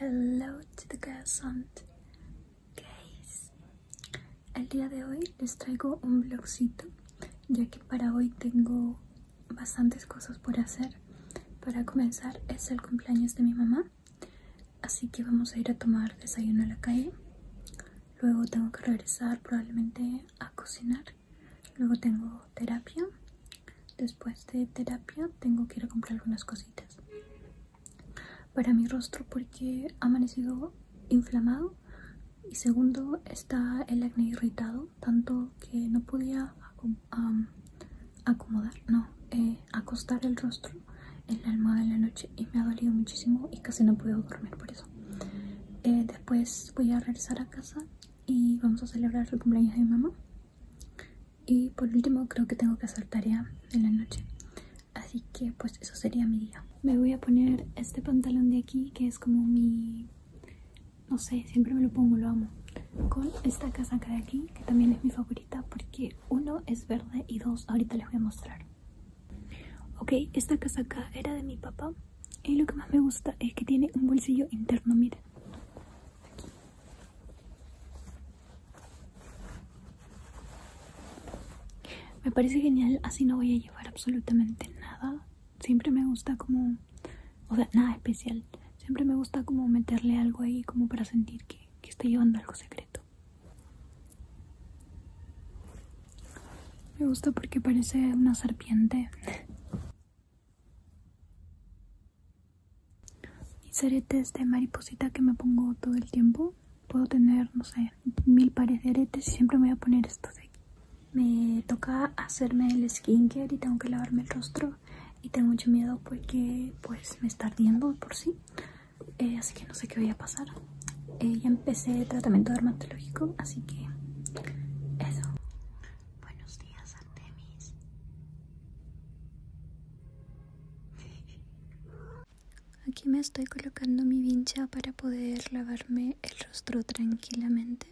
Hello to the girls and gays El día de hoy les traigo un vlogcito, ya que para hoy tengo bastantes cosas por hacer. Para comenzar es el cumpleaños de mi mamá, así que vamos a ir a tomar desayuno a la calle. Luego tengo que regresar probablemente a cocinar. Luego tengo terapia Después de terapia tengo que ir a comprar algunas cositas para mi rostro porque ha amanecido inflamado y segundo está el acné irritado tanto que no podía acomodar, no, eh, acostar el rostro en la almohada de la noche y me ha dolido muchísimo y casi no puedo dormir por eso. Eh, después voy a regresar a casa y vamos a celebrar el cumpleaños de mi mamá y por último creo que tengo que hacer tarea en la noche así que pues eso sería mi día me voy a poner este pantalón de aquí que es como mi no sé siempre me lo pongo lo amo con esta casaca de aquí que también es mi favorita porque uno es verde y dos ahorita les voy a mostrar ok esta casaca era de mi papá y lo que más me gusta es que tiene un bolsillo interno miren me parece genial, así no voy a llevar absolutamente nada. Siempre me gusta como, o sea, nada especial. Siempre me gusta como meterle algo ahí como para sentir que, que estoy llevando algo secreto. Me gusta porque parece una serpiente. Mis aretes de mariposita que me pongo todo el tiempo. Puedo tener, no sé, mil pares de aretes y siempre me voy a poner estos de aquí. Me toca hacerme el skincare y tengo que lavarme el rostro. Y tengo mucho miedo porque pues me está ardiendo por sí. Eh, así que no sé qué voy a pasar. Eh, ya empecé el tratamiento dermatológico, así que eso. Buenos días, Artemis. Aquí me estoy colocando mi vincha para poder lavarme el rostro tranquilamente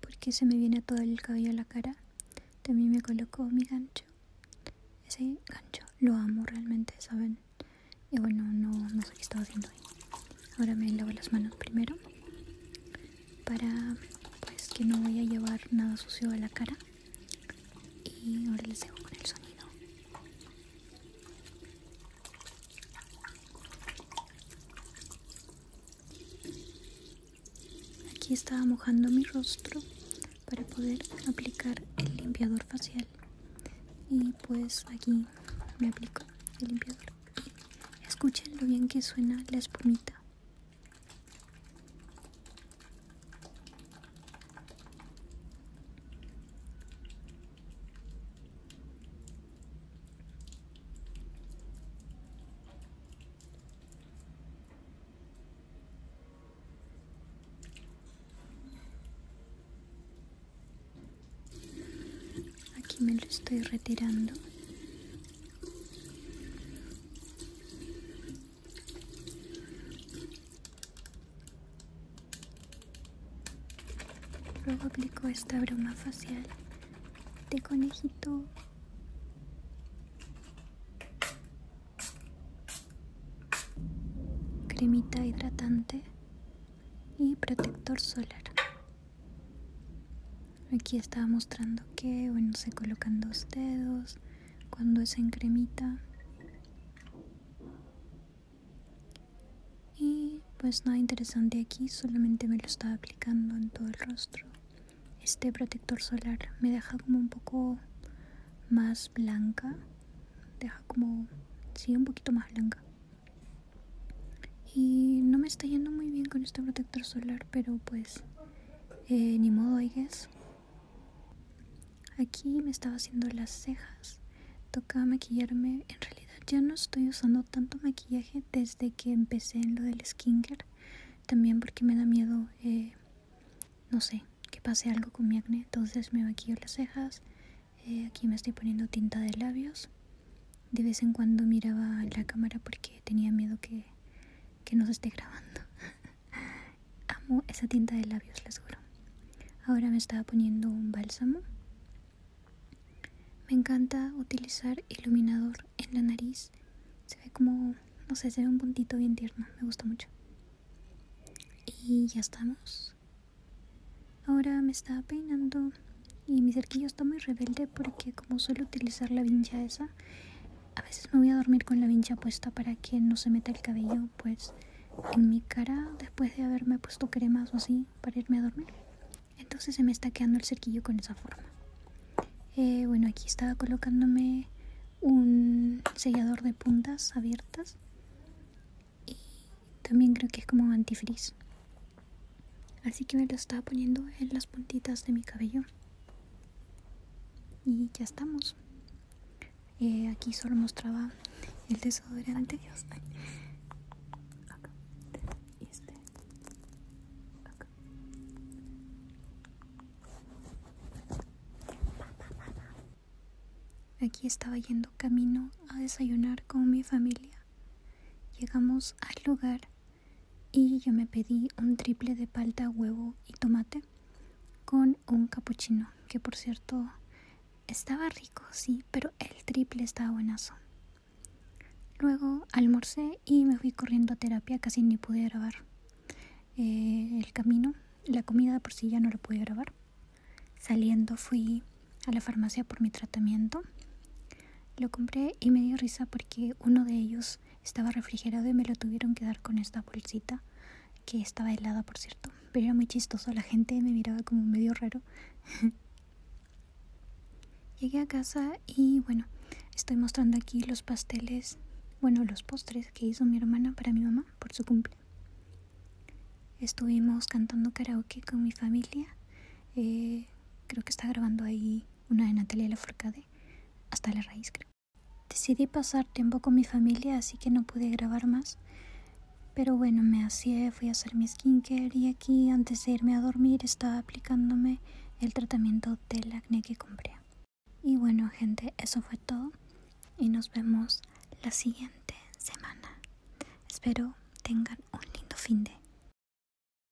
porque se me viene todo el cabello a la cara. También me coloco mi gancho. Ese gancho lo amo realmente, ¿saben? Y bueno, no, sé qué estaba haciendo ahí. Ahora me lavo las manos primero para pues, que no vaya a llevar nada sucio a la cara y ahora les dejo con el sonido aquí estaba mojando mi rostro para poder aplicar el limpiador facial y pues aquí me aplico el limpiador escuchen lo bien que suena la espumita Aquí me lo estoy retirando Luego aplico esta broma facial de conejito. Cremita hidratante y protector solar. Aquí estaba mostrando que, bueno, se colocan dos dedos cuando es en cremita. Y pues nada interesante aquí, solamente me lo estaba aplicando en todo el rostro. Este protector solar me deja como un poco más blanca. Deja como, sí, un poquito más blanca. Y no me está yendo muy bien con este protector solar, pero pues eh, ni modo, oigues Aquí me estaba haciendo las cejas. Tocaba maquillarme. En realidad ya no estoy usando tanto maquillaje desde que empecé en lo del skincare. También porque me da miedo, eh, no sé, que pase algo con mi acné. Entonces me maquillo las cejas. Eh, aquí me estoy poniendo tinta de labios. De vez en cuando miraba la cámara porque tenía miedo que que nos esté grabando. Amo esa tinta de labios, les juro. Ahora me estaba poniendo un bálsamo. Me encanta utilizar iluminador en la nariz. Se ve como, no sé, se ve un puntito bien tierno. Me gusta mucho. Y ya estamos. Ahora me estaba peinando y mi cerquillo está muy rebelde porque como suelo utilizar la vincha esa, a veces me voy a dormir con la vincha puesta para que no se meta el cabello, pues en mi cara después de haberme puesto cremas o así para irme a dormir. Entonces se me está quedando el cerquillo con esa forma. Eh, bueno, aquí estaba colocándome un sellador de puntas abiertas y también creo que es como antifrizz así que me lo estaba poniendo en las puntitas de mi cabello y ya estamos eh, aquí solo mostraba el desodorante Dios, este. Aquí estaba yendo camino a desayunar con mi familia. Llegamos al lugar y yo me pedí un triple de palta, huevo y tomate con un capuchino, que por cierto estaba rico, sí, pero el triple estaba buenazo. Luego almorcé y me fui corriendo a terapia, casi ni pude grabar eh, el camino, la comida por sí ya no lo pude grabar. Saliendo fui a la farmacia por mi tratamiento. Lo compré y me dio risa porque uno de ellos estaba refrigerado y me lo tuvieron que dar con esta bolsita, que estaba helada, por cierto. Pero era muy chistoso, la gente me miraba como medio raro. Llegué a casa y bueno, estoy mostrando aquí los pasteles, bueno, los postres que hizo mi hermana para mi mamá por su cumple. Estuvimos cantando karaoke con mi familia. Eh, creo que está grabando ahí una de Natalia Forcade hasta la raíz Decidí pasar tiempo con mi familia, así que no pude grabar más. Pero bueno, me hacía, fui a hacer mi skincare y aquí antes de irme a dormir estaba aplicándome el tratamiento del acné que compré. Y bueno, gente, eso fue todo y nos vemos la siguiente semana. Espero tengan un lindo fin de